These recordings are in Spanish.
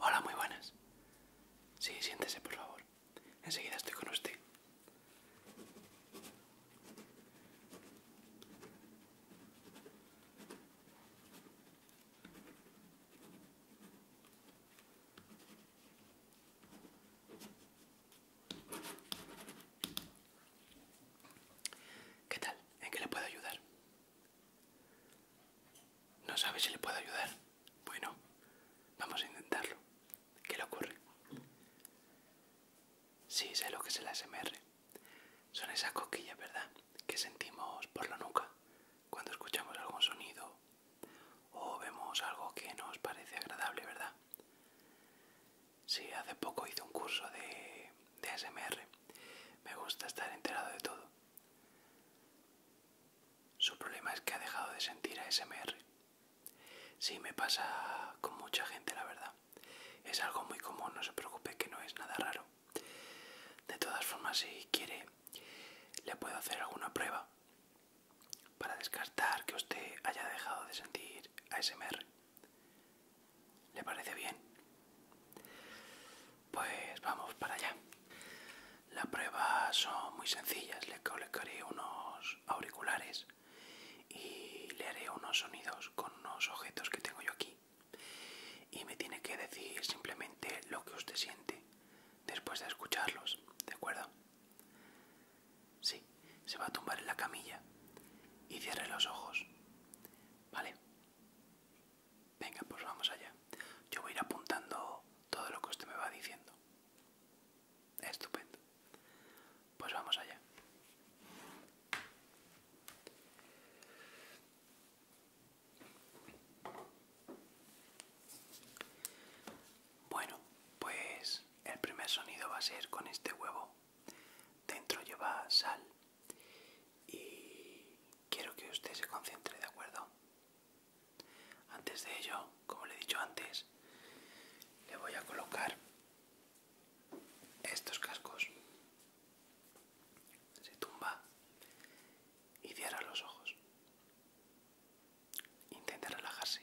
Hola, muy buenas. Sí, siéntese, por favor. Enseguida estoy con usted. ¿Qué tal? ¿En qué le puedo ayudar? ¿No sabe si le puedo ayudar? Bueno, vamos a intentarlo. ¿Qué le ocurre? Sí, sé lo que es el ASMR. Son esas coquillas, ¿verdad? Que sentimos por la nuca cuando escuchamos algún sonido o vemos algo que nos parece agradable, ¿verdad? Sí, hace poco hice un curso de, de ASMR. Me gusta estar enterado de todo. Su problema es que ha dejado de sentir ASMR. Sí, me pasa con mucha gente, la verdad. Es algo muy común, no se preocupe que no es nada raro. De todas formas, si quiere, le puedo hacer alguna prueba para descartar que usted haya dejado de sentir a ASMR. ¿Le parece bien? pues vamos para allá. Las pruebas son muy sencillas, le colocaré unos auriculares y le haré unos sonidos con unos objetos que tengo yo aquí. Y me tiene que decir simplemente lo que usted siente después de escucharlos, ¿de acuerdo? Sí, se va a tumbar en la camilla y cierre los ojos, ¿vale? Venga, pues vamos allá. Yo voy a ir apuntando todo lo que usted me va diciendo. Estupendo. Pues vamos allá. Bueno, pues el primer sonido va a ser con este huevo. Dentro lleva sal. Y quiero que usted se concentre, ¿de acuerdo? Antes de ello, como le he dicho antes, le voy a colocar estos cascos. Se tumba y cierra los ojos. Intenta relajarse.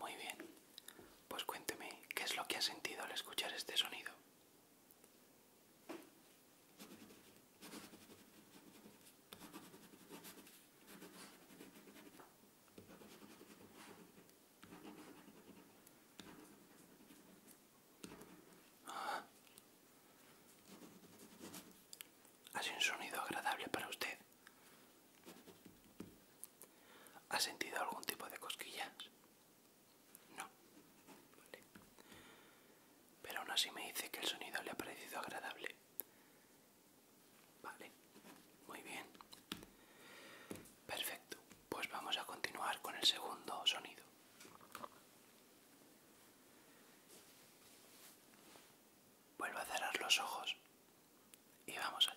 Muy bien, pues cuénteme, ¿qué es lo que ha sentido al escuchar este sonido? ¿Ha sido un sonido agradable para usted? ¿Ha sentido algún tipo de cosquillas? No. Pero aún así me dice que el sonido le ha parecido agradable. Vale. Muy bien. Perfecto. Pues vamos a continuar con el segundo sonido. Vuelvo a cerrar los ojos y vamos allá.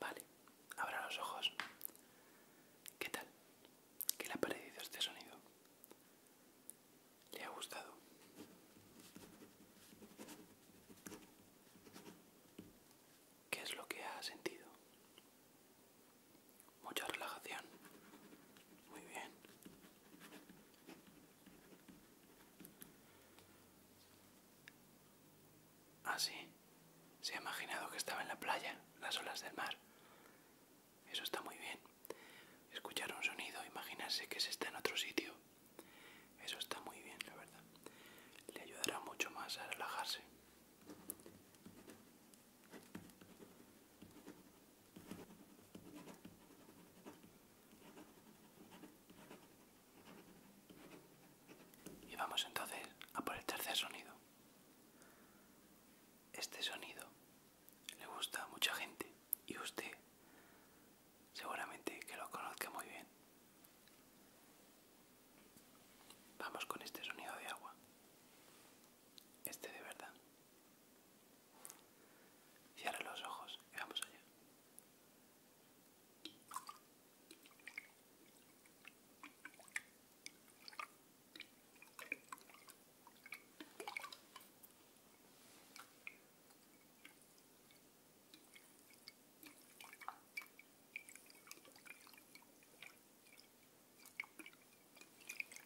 Vale, abra los ojos. ¿Qué tal? ¿Qué le ha parecido este sonido? ¿Le ha gustado? ¿Qué es lo que ha sentido? Mucha relajación. Muy bien. Ah, sí. Se ha imaginado que estaba en la playa, las olas del mar. Eso está muy bien. Escuchar un sonido, imaginarse que se está en otro sitio. Eso está muy bien, la verdad. Le ayudará mucho más a relajarse. Y vamos entonces a por el tercer sonido. Este sonido le gusta a mucha gente y usted seguramente que lo conozca muy bien. Vamos con este sonido de agua. Este de verdad. Cierra los ojos y vamos allá.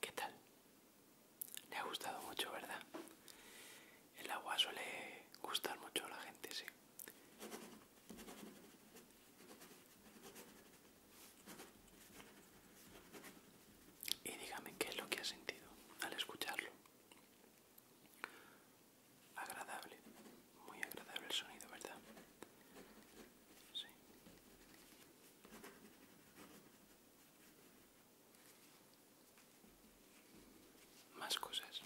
¿Qué tal? Le ha gustado mucho, ¿verdad? El agua suele gustar mucho a la gente, sí. Y dígame qué es lo que ha sentido al escucharlo. Agradable, muy agradable el sonido, ¿verdad? Sí. Más cosas.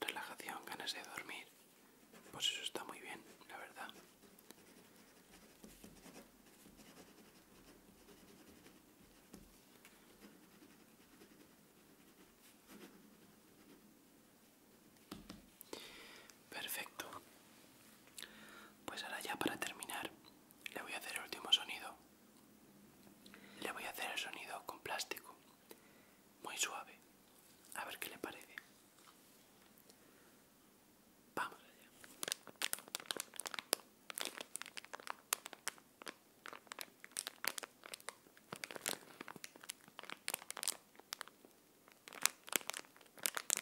Relajación, ganas de dormir. Pues eso está muy bien, la verdad. Perfecto. Pues ahora ya para terminar le voy a hacer el último sonido. Le voy a hacer el sonido con plástico. Muy suave. A ver qué le parece. Vamos allá.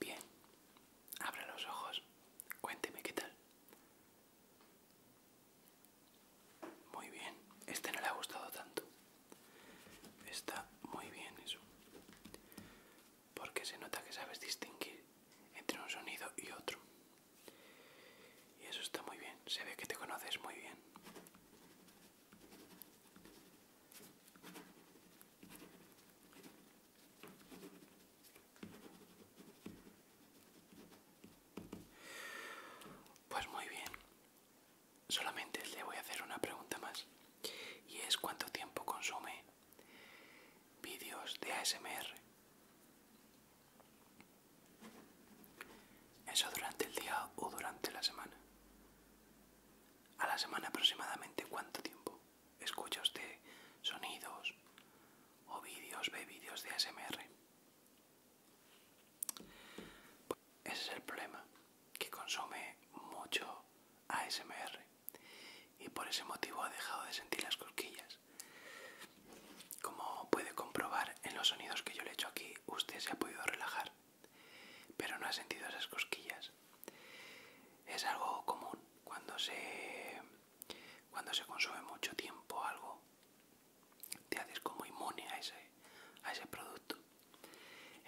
Bien, abra los ojos, cuénteme qué tal. Muy bien, este no le ha gustado tanto. Está muy bien eso. Porque se nota que sabes distinguir entre un sonido y otro. Y eso está muy bien, se ve que te conoces muy bien. Pues muy bien. Solamente le voy a hacer una pregunta más. Y es cuánto tiempo consume vídeos de ASMR. Eso durante el día o durante la semana. A la semana aproximadamente cuánto tiempo escucha usted sonidos o vídeos, ve vídeos de ASMR. Ese es el problema, que consume mucho ASMR y por ese motivo ha dejado de sentir las cosquillas. Como puede comprobar en los sonidos que yo le he hecho aquí, usted se ha podido relajar, pero no ha sentido esas cosquillas. Es algo común cuando se, cuando se consume mucho tiempo algo te haces como inmune a ese, a ese producto.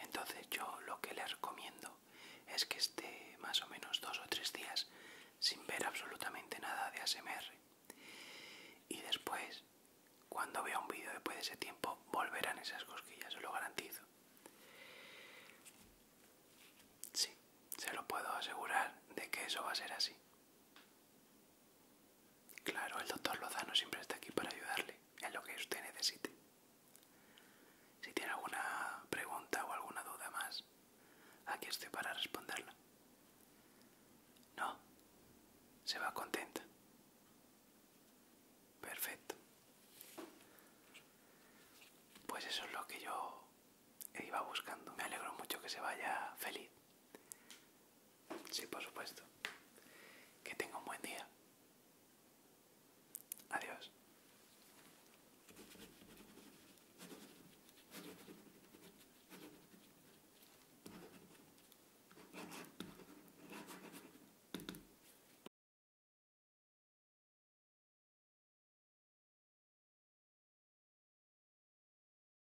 Entonces yo lo que les recomiendo es que esté más o menos dos o tres días sin ver absolutamente nada de ASMR. Y después, cuando vea un vídeo después de ese tiempo, volverán esas cosquillas, se lo garantizo. Sí, se lo puedo asegurar de que eso va a ser así. Claro, el doctor Lozano siempre está aquí para ayudarle en lo que usted necesite. Si tiene alguna pregunta o alguna duda más, aquí estoy para responderla. No, se va contenta. Perfecto. Pues eso es lo que yo iba buscando. Me alegro mucho que se vaya feliz. Sí, por supuesto. Que tenga un buen día. Adiós.